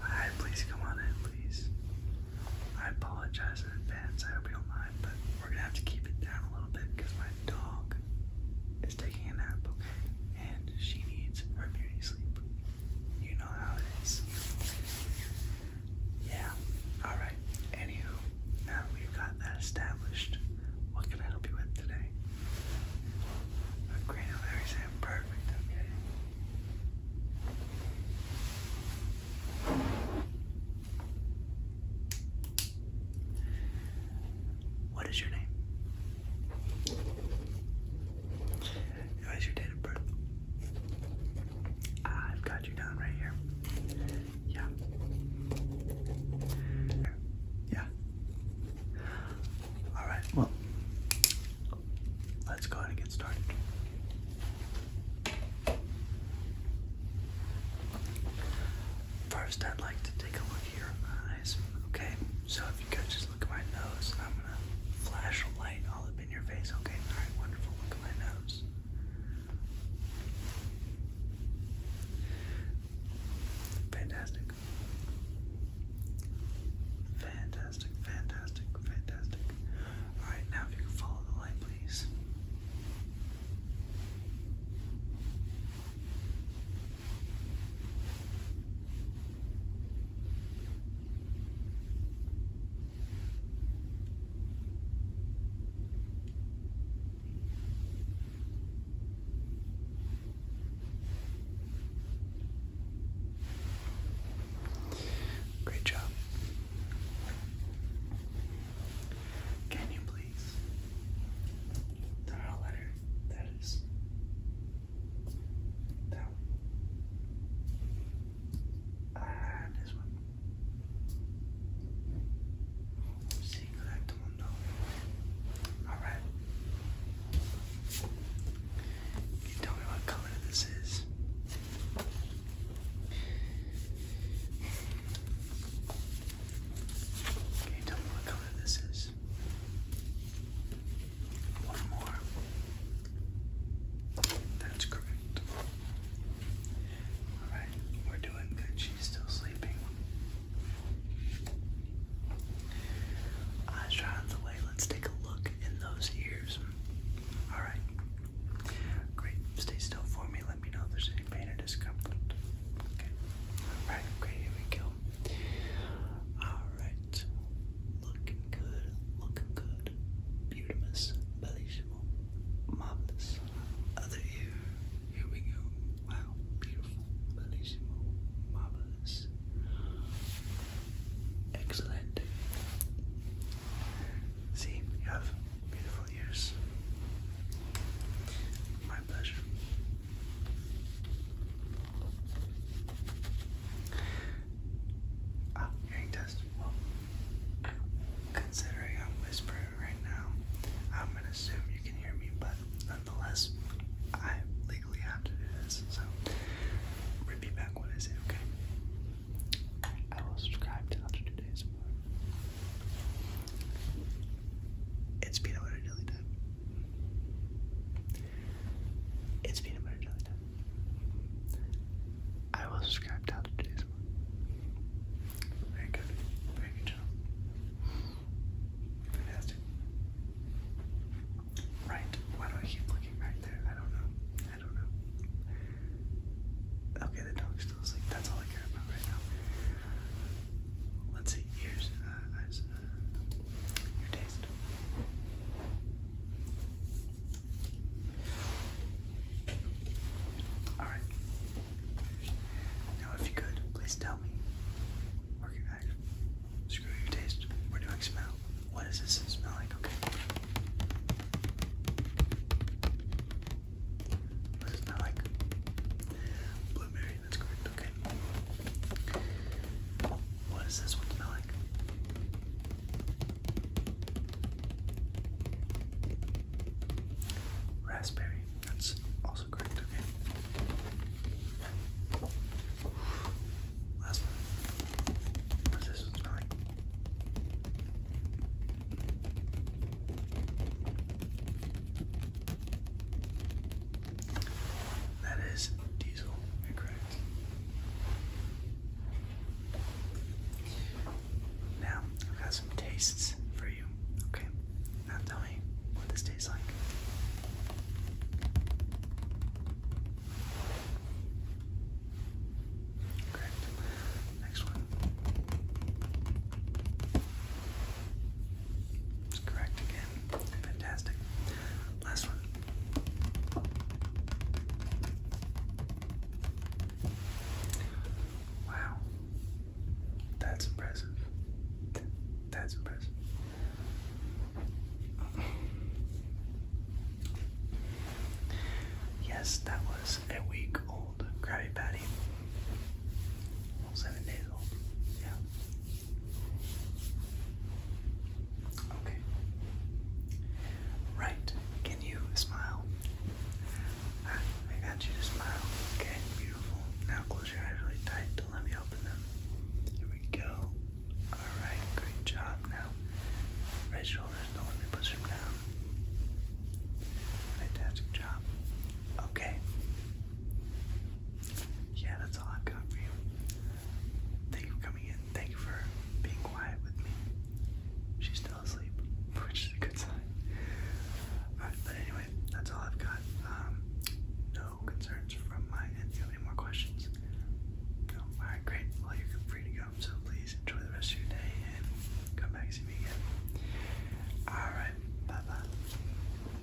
Alright, please come on in, please. I apologize in advance. I hope you don't mind, but we're gonna have to keep it down a little bit because my dog is taking a nap, okay? And she needs her beauty sleep. You know how it is. Yeah. Alright. Anywho, now we've got that established, what can I help you with today? But granularies are imperfect, okay? What is your name? What is your date of birth? I've got you down right here. Yeah. Yeah. All right, well, let's go ahead and get started. First, I'd like to take a look your eyes. Okay, so if you could just look at my nose, I'm gonna flash a light all up in your face. Okay, all right, wonderful. Look at my nose. Fantastic. Fantastic, fantastic, fantastic. Alright, now if you follow the light, please. Great job. Can you please? The letter, that is. That one. Ah, this one. I'm seeing Oh, Alright. you tell me what color this is? Can One more. That's correct. Alright, we're doing good. She's still sleeping. Eyes dry the way. Let's take a look in those ears. Alright. Great. Stay still for me. Let me know if there's any pain or discomfort. Okay. Alright, great. Here we go. Alright. Looking good. Looking good. Beautimus. Bellish beautiful, marvelous. Other ear, here we go. Wow, beautiful, bellissimo, marvelous, excellent. See, you have beautiful ears. My pleasure. Ah, hearing test. Well, considering I'm whispering, right now. I'm gonna assume you can hear me, but nonetheless, I legally have to do this. So, repeat back what I okay? I will subscribe to after two days It's peanut butter jelly time. It's peanut butter jelly time. I will subscribe down to today's one. Very good. Very good job. Fantastic. Right. Why do I keep looking right there? I don't know. I don't know. Okay, the dog's still That's all I care about right now. Let's see. Here's eyes. Uh, uh, your taste. Alright. Now, if you could, please tell me. Work your Screw your taste. We're doing smell. What does this smell like? Okay. What does it smell like? Blueberry, that's correct. Okay. What does this one smell like? Raspberry, that's also correct, okay. Last one. What's this one smelling? That is diesel, incorrect. Now, I've got some tastes for you. Okay, now tell me what this tastes like. Great. Next one. correct again. Fantastic last one. Wow. That's impressive. That's impressive. Yes, that was a week old Krabby Patty. seven days old. Yeah. Okay. Right. Can you smile? Ah, I got you to smile. Okay, beautiful. Now close your eyes really tight. Don't let me open them. Here we go. Alright, great job. Now, right shoulders. Don't let me push them down. Fantastic job. Okay. Yeah, that's all I've got for you. Thank you for coming in. Thank you for being quiet with me. She's still asleep, which is a good sign. but anyway, that's all I've got. Um, no concerns from my end. Do you have any more questions? No? Alright, great. Well, you're free to go. So please enjoy the rest of your day and come back and see me again. Alright, bye bye.